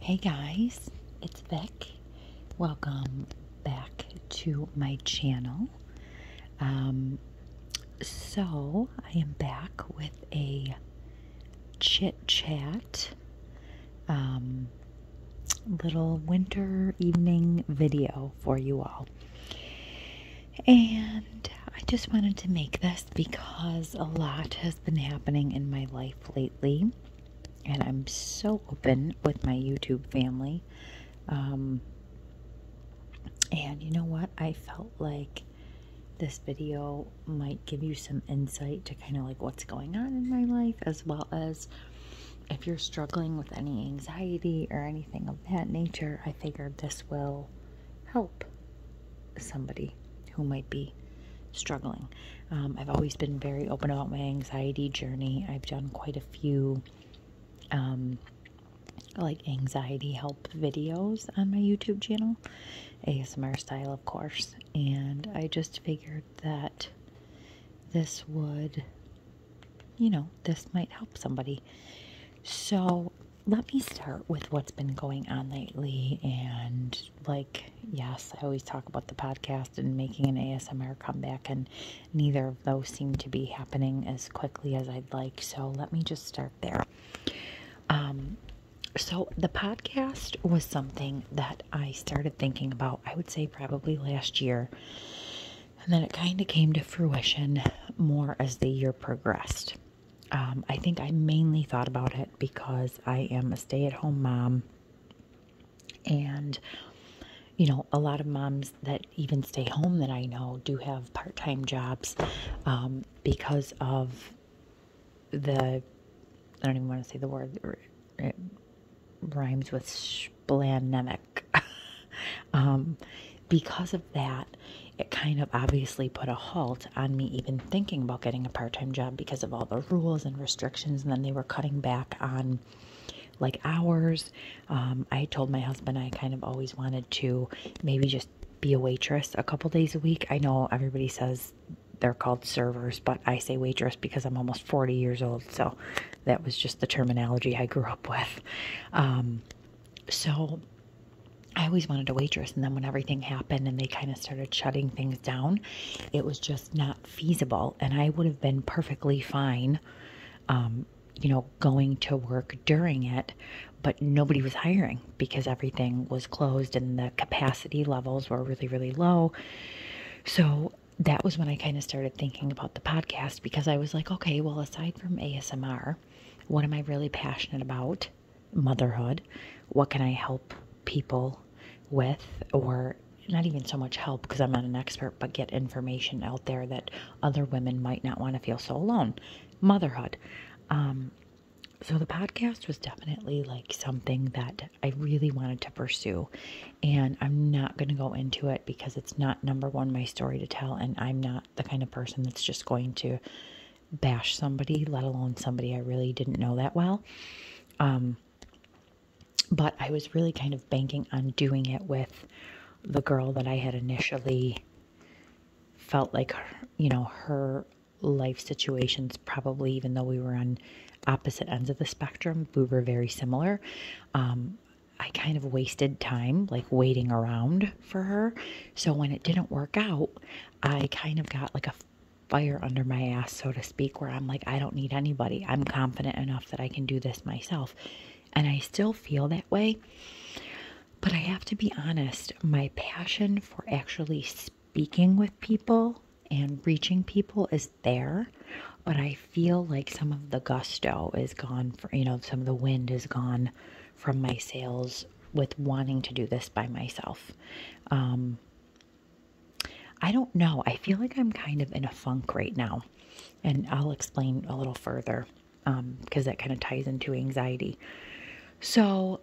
Hey guys, it's Vic. Welcome back to my channel. Um, so, I am back with a chit chat, um, little winter evening video for you all. And I just wanted to make this because a lot has been happening in my life lately and I'm so open with my YouTube family. Um, and you know what? I felt like this video might give you some insight to kind of like what's going on in my life, as well as if you're struggling with any anxiety or anything of that nature. I figured this will help somebody who might be struggling. Um, I've always been very open about my anxiety journey. I've done quite a few um, like anxiety help videos on my YouTube channel, ASMR style, of course. And I just figured that this would, you know, this might help somebody. So let me start with what's been going on lately and like, yes, I always talk about the podcast and making an ASMR comeback, and neither of those seem to be happening as quickly as I'd like. So let me just start there. Um, so the podcast was something that I started thinking about, I would say probably last year. And then it kind of came to fruition more as the year progressed. Um, I think I mainly thought about it because I am a stay at home mom and you know a lot of moms that even stay home that i know do have part-time jobs um, because of the i don't even want to say the word it rhymes with splanemic um, because of that it kind of obviously put a halt on me even thinking about getting a part time job because of all the rules and restrictions. And then they were cutting back on like hours. Um, I told my husband I kind of always wanted to maybe just be a waitress a couple days a week. I know everybody says they're called servers, but I say waitress because I'm almost 40 years old. So that was just the terminology I grew up with. Um, so I always wanted a waitress. And then when everything happened and they kind of started shutting things down, it was just not feasible, and I would have been perfectly fine, um, you know, going to work during it, but nobody was hiring because everything was closed and the capacity levels were really, really low. So that was when I kind of started thinking about the podcast because I was like, okay, well, aside from ASMR, what am I really passionate about? Motherhood. What can I help people with, or not even so much help because I'm not an expert, but get information out there that other women might not want to feel so alone. Motherhood. Um, so the podcast was definitely like something that I really wanted to pursue. And I'm not going to go into it because it's not number one, my story to tell. And I'm not the kind of person that's just going to bash somebody, let alone somebody I really didn't know that well. Um, but I was really kind of banking on doing it with the girl that I had initially felt like, you know, her life situations probably, even though we were on opposite ends of the spectrum, we were very similar. Um, I kind of wasted time like waiting around for her. So when it didn't work out, I kind of got like a fire under my ass, so to speak, where I'm like, I don't need anybody. I'm confident enough that I can do this myself. And I still feel that way. But I have to be honest, my passion for actually speaking with people and reaching people is there. But I feel like some of the gusto is gone, for, you know, some of the wind is gone from my sails with wanting to do this by myself. Um, I don't know. I feel like I'm kind of in a funk right now. And I'll explain a little further because um, that kind of ties into anxiety. So,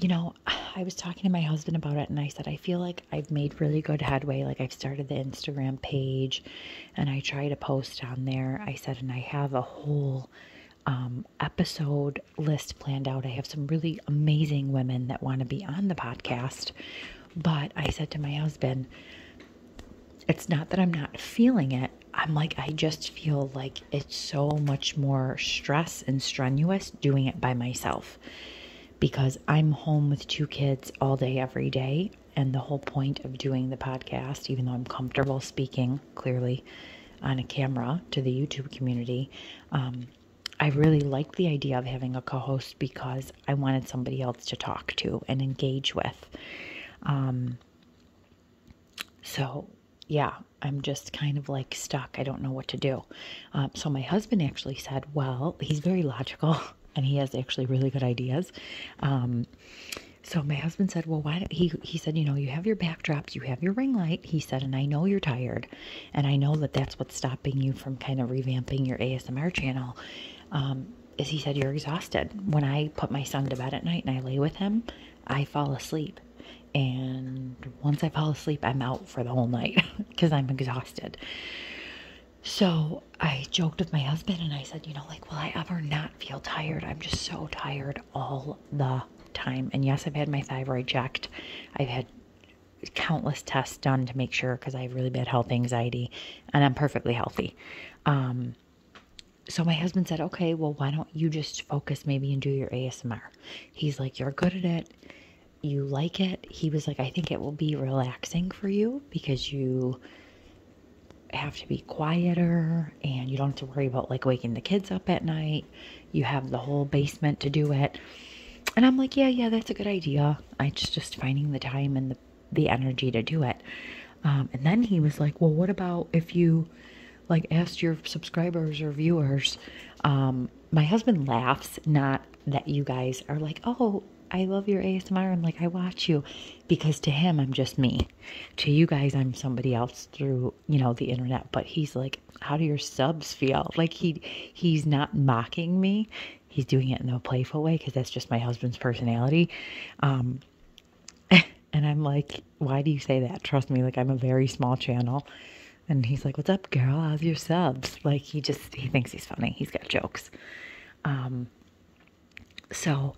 you know, I was talking to my husband about it and I said, I feel like I've made really good headway. Like I've started the Instagram page and I try to post on there. I said, and I have a whole um, episode list planned out. I have some really amazing women that want to be on the podcast. But I said to my husband, it's not that I'm not feeling it. I'm like, I just feel like it's so much more stress and strenuous doing it by myself because I'm home with two kids all day, every day. And the whole point of doing the podcast, even though I'm comfortable speaking clearly on a camera to the YouTube community, um, I really liked the idea of having a co host because I wanted somebody else to talk to and engage with. Um, so, yeah, I'm just kind of like stuck. I don't know what to do. Um, so, my husband actually said, Well, he's very logical and he has actually really good ideas. Um, so, my husband said, Well, why not he? He said, You know, you have your backdrops, you have your ring light he said, and I know you're tired, and I know that that's what's stopping you from kind of revamping your ASMR channel. Um, is he said, You're exhausted. When I put my son to bed at night and I lay with him, I fall asleep. And once I fall asleep, I'm out for the whole night because I'm exhausted. So I joked with my husband and I said, You know, like, will I ever not feel tired? I'm just so tired all the time. And yes, I've had my thyroid checked. I've had countless tests done to make sure because I have really bad health anxiety and I'm perfectly healthy. Um, so my husband said, okay, well, why don't you just focus maybe and do your ASMR? He's like, you're good at it. You like it. He was like, I think it will be relaxing for you because you have to be quieter and you don't have to worry about like waking the kids up at night you have the whole basement to do it. And I'm like, yeah, yeah, that's a good idea. I just just finding the time and the the energy to do it. Um, and then he was like, well, what about if you like asked your subscribers or viewers? Um, my husband laughs, not that you guys are like, oh, I love your ASMR I'm like I watch you because to him I'm just me. To you guys I'm somebody else through, you know, the internet, but he's like how do your subs feel like he he's not mocking me he's doing it in a playful way because that's just my husband's personality um and i'm like why do you say that trust me like i'm a very small channel and he's like what's up girl how's your subs like he just he thinks he's funny he's got jokes um so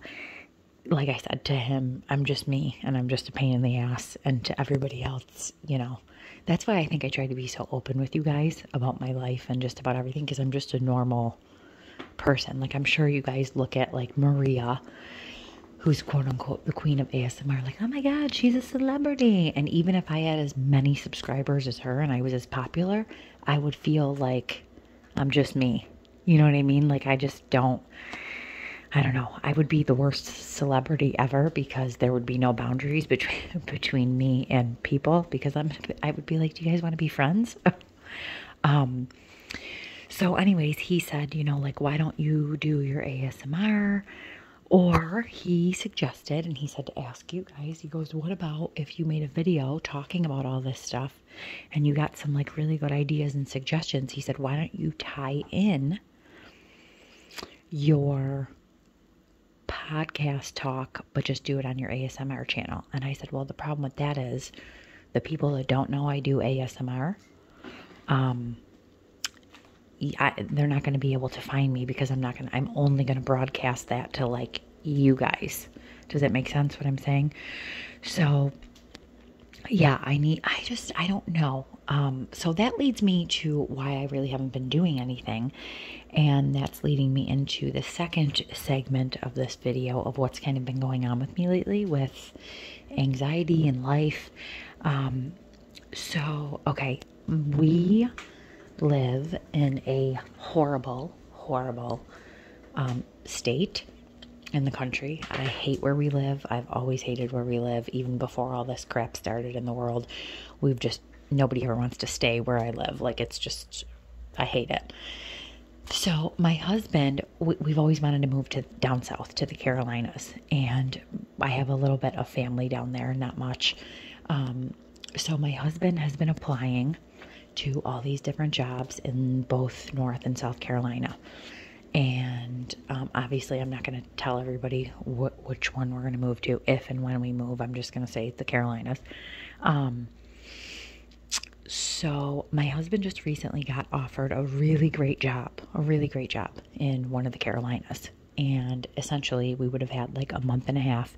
like I said to him, I'm just me and I'm just a pain in the ass. And to everybody else, you know, that's why I think I try to be so open with you guys about my life and just about everything because I'm just a normal person. Like, I'm sure you guys look at like Maria, who's quote unquote the queen of ASMR, like, oh my God, she's a celebrity. And even if I had as many subscribers as her and I was as popular, I would feel like I'm just me. You know what I mean? Like, I just don't. I don't know. I would be the worst celebrity ever because there would be no boundaries between between me and people because I'm I would be like, do you guys want to be friends? um, so, anyways, he said, you know, like, why don't you do your ASMR? Or he suggested, and he said to ask you guys, he goes, What about if you made a video talking about all this stuff and you got some like really good ideas and suggestions? He said, Why don't you tie in your podcast talk, but just do it on your ASMR channel. And I said, Well, the problem with that is the people that don't know I do ASMR, um, they're not going to be able to find me because I'm not going to, I'm only going to broadcast that to like you guys. Does that make sense what I'm saying? So, yeah, I need, I just, I don't know. Um, so that leads me to why I really haven't been doing anything. And that's leading me into the second segment of this video of what's kind of been going on with me lately with anxiety and life. Um, so, okay, we live in a horrible, horrible um, state in the country. I hate where we live. I've always hated where we live, even before all this crap started in the world. We've just nobody ever wants to stay where I live. Like it's just, I hate it. So my husband, we, have always wanted to move to down south to the Carolinas, and I have a little bit of family down there, not much. Um, so my husband has been applying to all these different jobs in both North and South Carolina. And um, obviously, I'm not going to tell everybody what which one we're going to move to if and when we move. I'm just going to say the Carolinas. Um, so my husband just recently got offered a really great job, a really great job in one of the Carolinas. And essentially, we would have had like a month and a half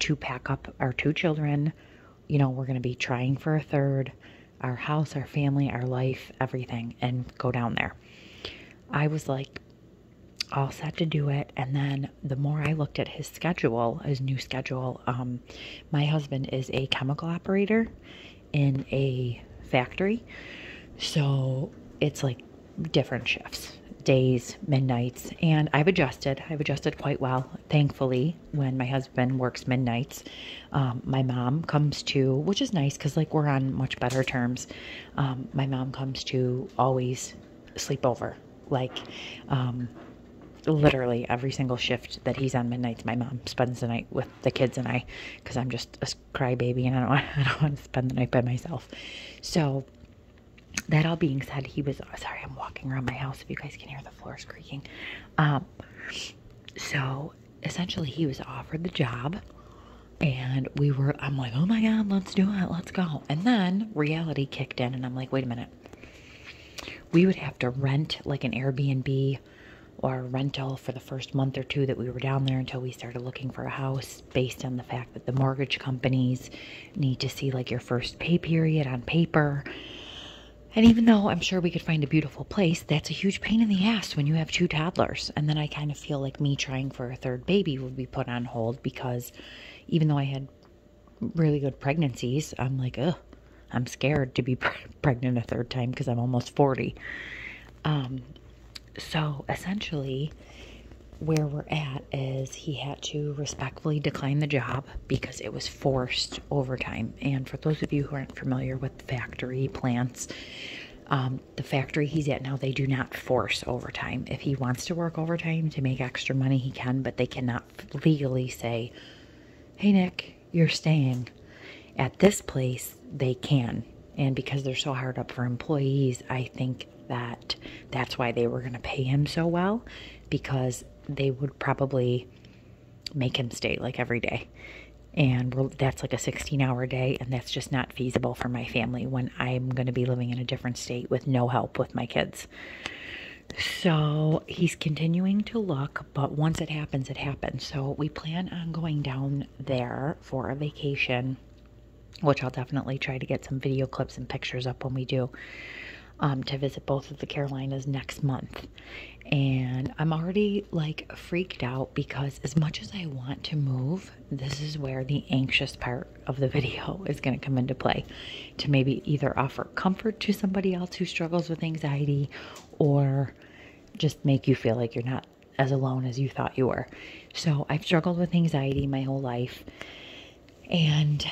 to pack up our two children. You know, we're going to be trying for a third, our house, our family, our life, everything, and go down there. I was like, all set to do it. And then the more I looked at his schedule, his new schedule, um, my husband is a chemical operator in a factory. So it's like different shifts days, midnights, and I've adjusted. I've adjusted quite well, thankfully. When my husband works midnights, um, my mom comes too, which is nice because like we're on much better terms. Um, my mom comes to always sleep over. Like, um, literally every single shift that he's on midnights, my mom spends the night with the kids and I, because I'm just a crybaby and I don't, want, I don't want to spend the night by myself. So, that all being said, he was oh, sorry. I'm walking around my house. If you guys can hear the floors creaking, um, so essentially he was offered the job and we were, I'm like, oh my God, let's do it, let's go. And then reality kicked in, and I'm like, wait a minute. We would have to rent like an Airbnb or rental for the first month or two that we were down there until we started looking for a house based on the fact that the mortgage companies need to see like your first pay period on paper. And even though I'm sure we could find a beautiful place, that's a huge pain in the ass when you have two toddlers. And then I kind of feel like me trying for a third baby would be put on hold because even though I had really good pregnancies, I'm like, ugh, I'm scared to be pregnant a third time because I'm almost 40. Um, so essentially, where we're at is he had to respectfully decline the job because it was forced overtime. And for those of you who aren't familiar with factory plants, um, the factory he's at now, they do not force overtime. If he wants to work overtime to make extra money, he can, but they cannot legally say, hey, Nick, you're staying. At this place, they can. And because they're so hard up for employees, I think that that's why they were going to pay him so well because they would probably make him stay like every day. And that's like a 16 hour day, and that's just not feasible for my family when I'm going to be living in a different state with no help with my kids. So he's continuing to look, but once it happens, it happens. So we plan on going down there for a vacation, which I'll definitely try to get some video clips and pictures up when we do. Um, to visit both of the Carolinas next month. And I'm already like freaked out because as much as I want to move, this is where the anxious part of the video is going to come into play to maybe either offer comfort to somebody else who struggles with anxiety or just make you feel like you're not as alone as you thought you were. So I've struggled with anxiety my whole life. And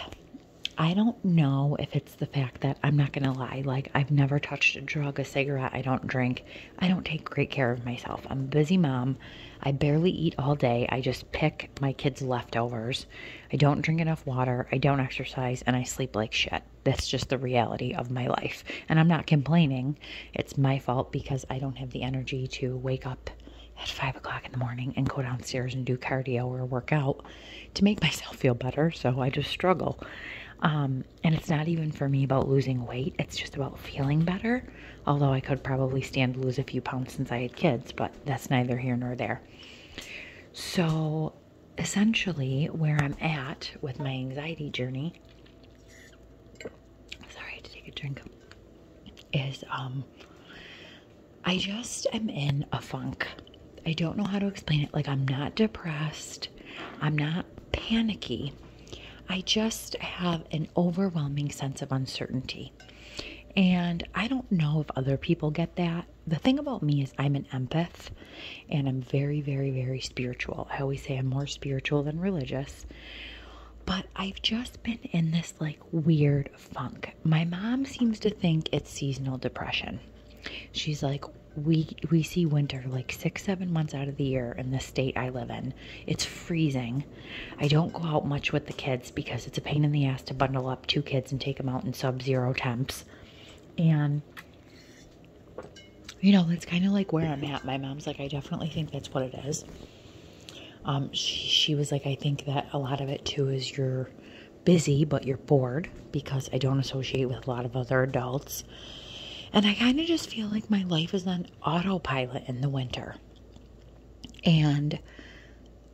I don't know if it's the fact that I'm not going to lie. Like, I've never touched a drug, a cigarette. I don't drink. I don't take great care of myself. I'm a busy mom. I barely eat all day. I just pick my kids' leftovers. I don't drink enough water. I don't exercise and I sleep like shit. That's just the reality of my life. And I'm not complaining. It's my fault because I don't have the energy to wake up at five o'clock in the morning and go downstairs and do cardio or work out to make myself feel better. So I just struggle. Um, and it's not even for me about losing weight, it's just about feeling better although I could probably stand lose a few pounds since I had kids, but that's neither here nor there. So, essentially, where I'm at with my anxiety journey, sorry, I had to take a drink, is um, I just am in a funk. I don't know how to explain it. Like, I'm not depressed, I'm not panicky, I just have an overwhelming sense of uncertainty. And I don't know if other people get that. The thing about me is I'm an empath and I'm very, very, very spiritual. I always say I'm more spiritual than religious. But I've just been in this like weird funk. My mom seems to think it's seasonal depression. She's like, we we see winter like six seven months out of the year in the state i live in it's freezing. I don't go out much with the kids because it's a pain in the ass to bundle up two kids and take them out in sub-zero temps. And, you know, that's kind of like where I'm at. My mom's like, I definitely think that's what it is. Um, she was like, I think that a lot of it too is you're busy, but you're bored because I don't associate with a lot of other adults. And I kind of just feel like my life is on autopilot in the winter. And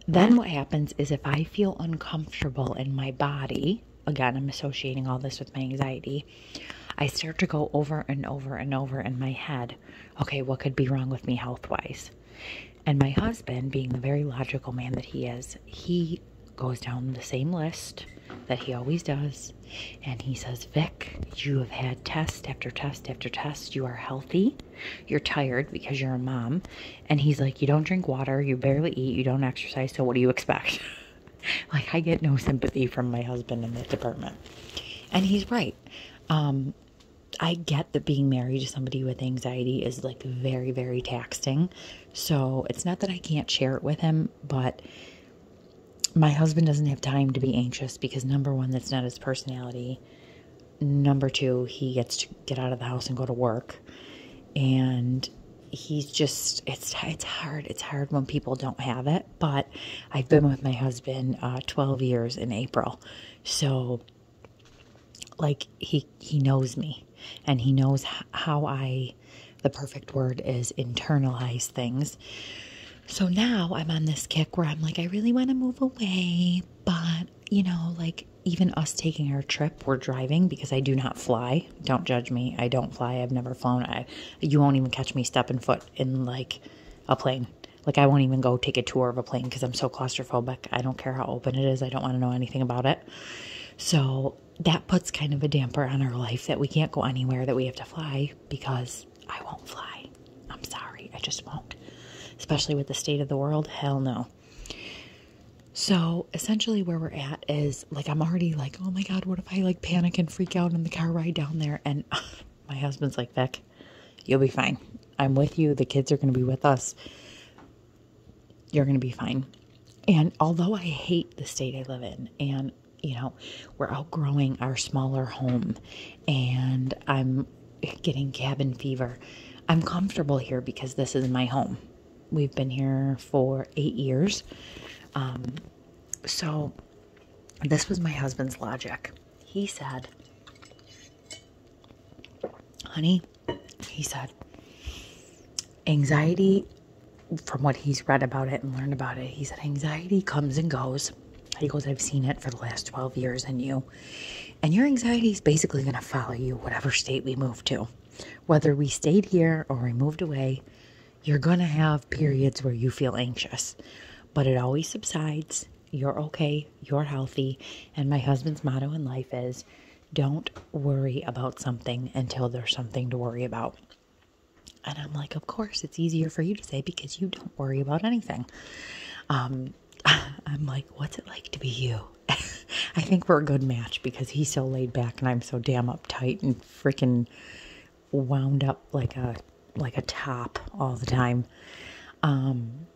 then what happens is if I feel uncomfortable in my body, again, I'm associating all this with my anxiety, I start to go over and over and over in my head, okay, what could be wrong with me health wise? And my husband, being the very logical man that he is, he goes down the same list that he always does. And he says, Vic, you have had test after test after test. You are healthy. You're tired because you're a mom. And he's like, You don't drink water. You barely eat. You don't exercise. So what do you expect? like, I get no sympathy from my husband in that department. And he's right. Um, I get that being married to somebody with anxiety is like very, very taxing. So it's not that I can't share it with him, but my husband doesn't have time to be anxious because number one, that's not personality. Number two, he gets to get out of the house and go to work. And he's just it's it's hard it's hard when people don't have it but i've been with my husband uh, 12 years in april so like he he knows me and he knows how i the perfect word is internalize things so now I'm on this kick where I'm like, I really want to move away, but you know, like even us taking our trip, we're driving because I do not fly. Don't judge me. I don't fly. I've never flown. I you won't even catch me stepping foot in like a plane. Like I won't even go take a tour of a plane because I'm so claustrophobic. I don't care how open it is. I don't want to know anything about it. So that puts kind of a damper on our life that we can't go anywhere that we have to fly because I won't fly. I'm sorry, I just won't. Especially with the state of the world, hell no. So essentially, where we're at is like I'm already like, oh my god, what if I like panic and freak out on the car ride down there? And my husband's like, Beck, you'll be fine. I'm with you. The kids are going to be with us. You're going to be fine. And although I hate the state I live in, and you know, we're outgrowing our smaller home and I'm getting cabin fever. I'm comfortable here because this is my home. We've been here for eight years. Um, so, this was my husband's logic. He said, Honey, he said, anxiety, from what he's read about it and learned about it, he said, anxiety comes and goes is. I've seen it for the last 12 years and you. And your anxiety is basically going to follow you, whatever state we move to. Whether we stayed here or we moved away, you're going to have periods where you feel anxious, but it always subsides. You're okay, you're healthy. And my husband's motto in life is don't worry about something until there's something to worry about. And I'm like, of course, it's easier for you to say because you don't worry about anything. Um, I'm like, what's it like to be you? I think we're a good match because he's so laid back and I'm so damn uptight and freaking wound up like a like a top all the time. Um,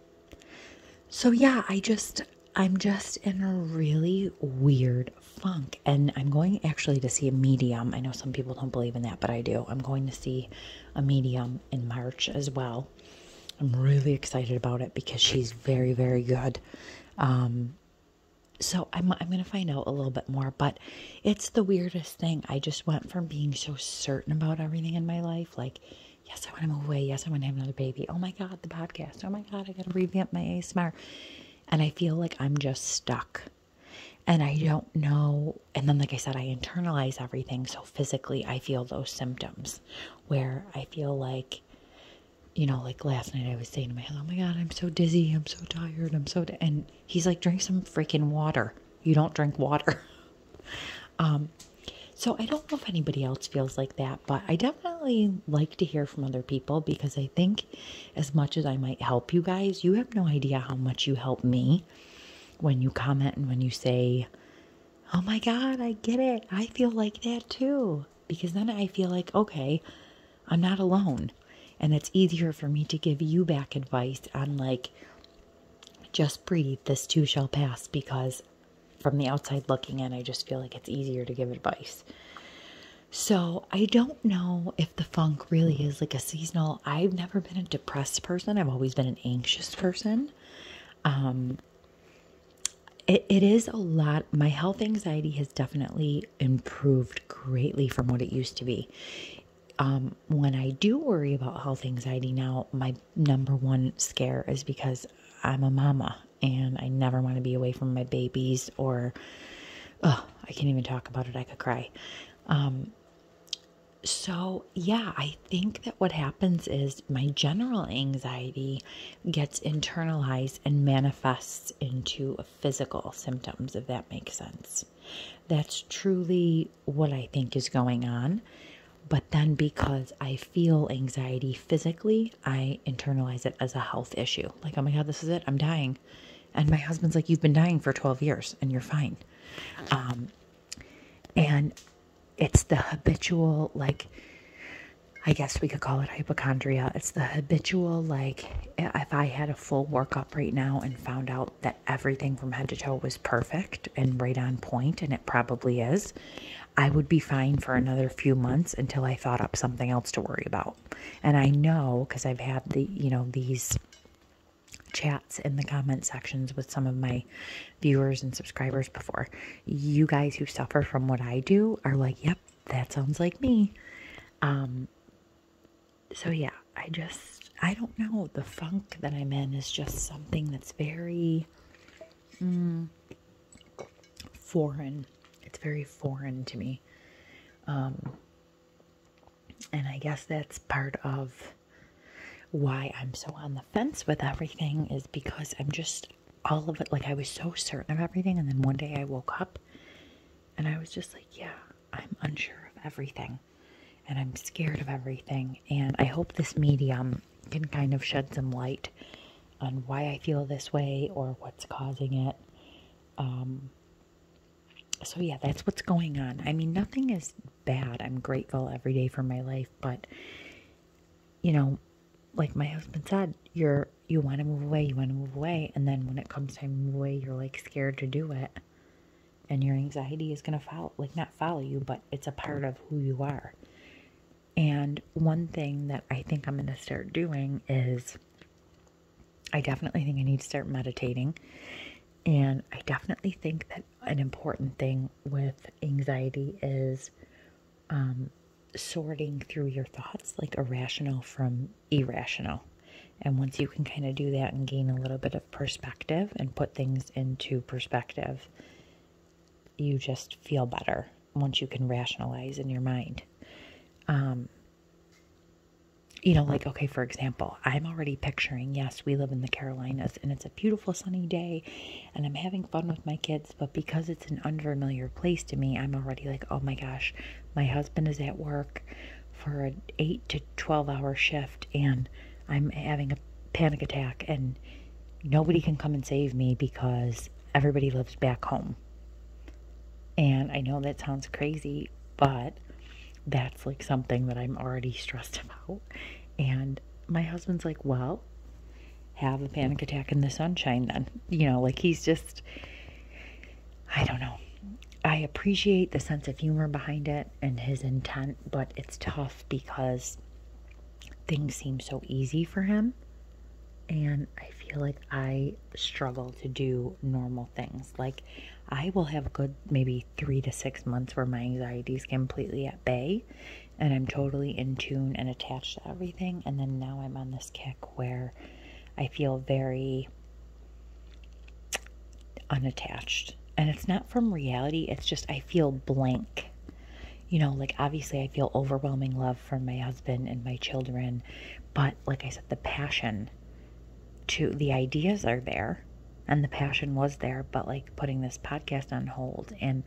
so yeah, I just I'm just in a really weird funk and I'm going actually to see a medium. I know some people don't believe in that, but I do. I'm going to see a medium in March as well. I'm really excited about it because she's very, very good. Um, so I'm, I'm going to find out a little bit more, but it's the weirdest thing. I just went from being so certain about everything in my life, like, yes, I want to move away. Yes, I want to have another baby. Oh my God, the podcast. Oh my God, I got to revamp my ASMR. And I feel like I'm just stuck and I don't know. And then, like I said, I internalize everything. So physically, I feel those symptoms where I feel like, you know, like last night I was saying to my husband, oh my God, I'm so dizzy. I'm so tired. I'm so, and he's like, drink some freaking water. You don't drink water. um, so I don't know if anybody else feels like that, but I definitely like to hear from other people because I think as much as I might help you guys, you have no idea how much you help me when you comment and when you say, Oh my God, I get it. I feel like that too. Because then I feel like, okay, I'm not alone. And it's easier for me to give you back advice on, like, just breathe, this too shall pass. Because from the outside looking in, I just feel like it's easier to give advice. So I don't know if the funk really is like a seasonal. I've never been a depressed person. I've always been an anxious person. Um, it is a lot. My health anxiety has definitely improved greatly from what it used to be. Um, when I do worry about health anxiety now, my number one scare is because I'm a mama and I never want to be away from my babies or, oh, I can't even talk about it. I could cry. Um, so, yeah, I think that what happens is my general anxiety gets internalized and manifests into physical symptoms, if that makes sense. That's truly what I think is going on. But then, because I feel anxiety physically, I internalize it as a health issue. Like, oh my God, this is it, I'm dying. And my husband's like, You've been dying for 12 years and you're fine. Um, and it's the habitual, like, I guess we could call it hypochondria. It's the habitual, like, if I had a full workup right now and found out that everything from head to toe was perfect and right on point, and it probably is, I would be fine for another few months until I thought up something else to worry about. And I know because I've had the, you know, these chats in the comment sections with some of my viewers and subscribers before. You guys who suffer from what I do are like, yep, that sounds like me. Um, so yeah, I just, I don't know. The funk that I'm in is just something that's very mm, foreign. It's very foreign to me. Um, and I guess that's part of why I'm so on the fence with everything is because I'm just all of it like I was so certain of everything and then one day I woke up and I was just like, yeah, I'm unsure of everything and I'm scared of everything and I hope this medium can kind of shed some light on why I feel this way or what's causing it. Um so yeah, that's what's going on. I mean, nothing is bad. I'm grateful every day for my life, but you know, like my husband said, you're you want to move away, you want to move away, and then when it comes time to move away, you're like scared to do it. And your anxiety is going to follow, like not follow you, but it's a part of who you are. And one thing that I think I'm going to start doing is I definitely think I need to start meditating. And I definitely think that an important thing with anxiety is um, sorting through your thoughts, like irrational from irrational. And once you can kind of do that and gain a little bit of perspective and put things into perspective, you just feel better once you can rationalize in your mind. Um, you know, like, okay, for example, I'm already picturing, yes, we live in the Carolinas and it's a beautiful sunny day and I'm having fun with my kids, but because it's an unfamiliar place to me, I'm already like, oh my gosh, my husband is at work for an 8 to 12 hour shift and I'm having a panic attack and nobody can come and save me because everybody lives back home. And I know that sounds crazy, but that's like something that I'm already stressed about. And my husband's like, well, have a panic attack in the sunshine then. You know, like he's just, I don't know. I appreciate the sense of humor behind it and his intent, but it's tough because things seem so easy for him. And I feel like I struggle to do normal things. Like, I will have good maybe three to six months where my anxiety is completely at bay and I'm totally in tune and attached to everything. And then now I'm on this kick where I feel very unattached. And it's not from reality, it's just I feel blank. You know, like obviously I feel overwhelming love for my husband and my children, but like I said, the passion to the ideas are there and the passion was there, but like putting this podcast on hold and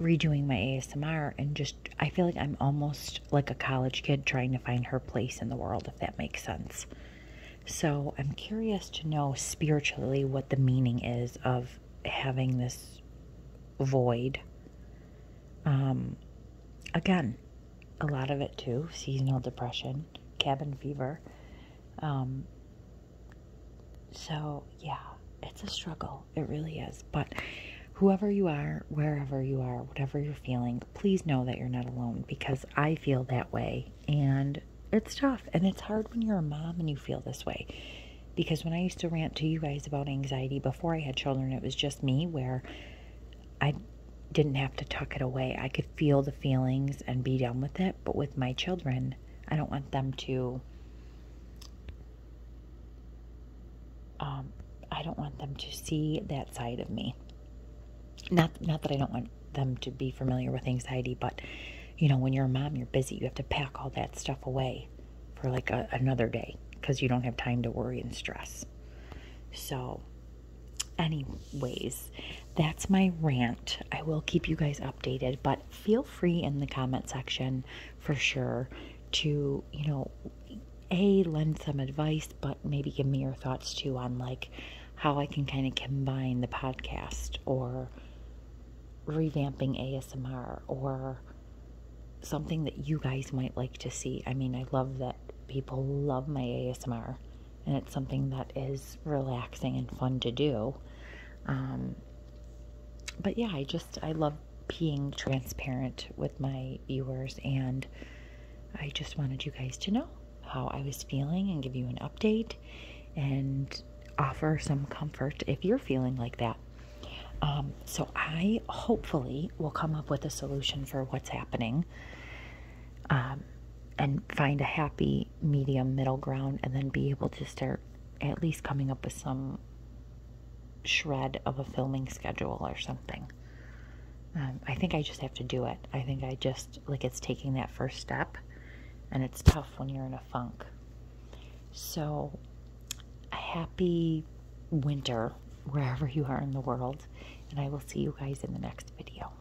redoing my ASMR and just I feel like I'm almost like a college kid trying to find her place in the world if that makes sense. So, I'm curious to know spiritually what the meaning is of having this void. Um again, a lot of it too, seasonal depression, cabin fever. Um so, yeah, it's a struggle. It really is. But whoever you are, wherever you are, whatever you're feeling, please know that you're not alone because I feel that way. And it's tough. And it's hard when you're a mom and you feel this way. Because when I used to rant to you guys about anxiety before I had children, it was just me where I didn't have to tuck it away. I could feel the feelings and be done with it but with my children. I don't want them to. Um, I don't want them to see that side of me. Not not that I don't want them to be familiar with anxiety, but you know, when you're a mom, you're busy. You have to pack all that stuff away for like another day because you don't have time to worry and stress. So, anyways, that's my rant. I will keep you guys updated, but feel free in the comment section for sure to, you know, a lend some advice, but maybe give me your thoughts too on like how I can kind of combine the podcast or revamping ASMR or something that you guys might like to see. I mean, I love that people love my ASMR and it's something that is relaxing and fun to do. Um, but yeah, I just I love being transparent with my viewers, and I just wanted you guys to know how I was feeling and give you an update and offer some comfort if you're feeling like that. Um, so I hopefully will come up with a solution for what's happening um, and find a happy medium middle ground and then be able to start at least coming up with some shred of a filming schedule or something. Um, I think I just have to do it. I think I just, like, it's taking that first step, and it's tough when you're in a funk. So, a happy winter wherever you are in the world, and I will see you guys in the next video.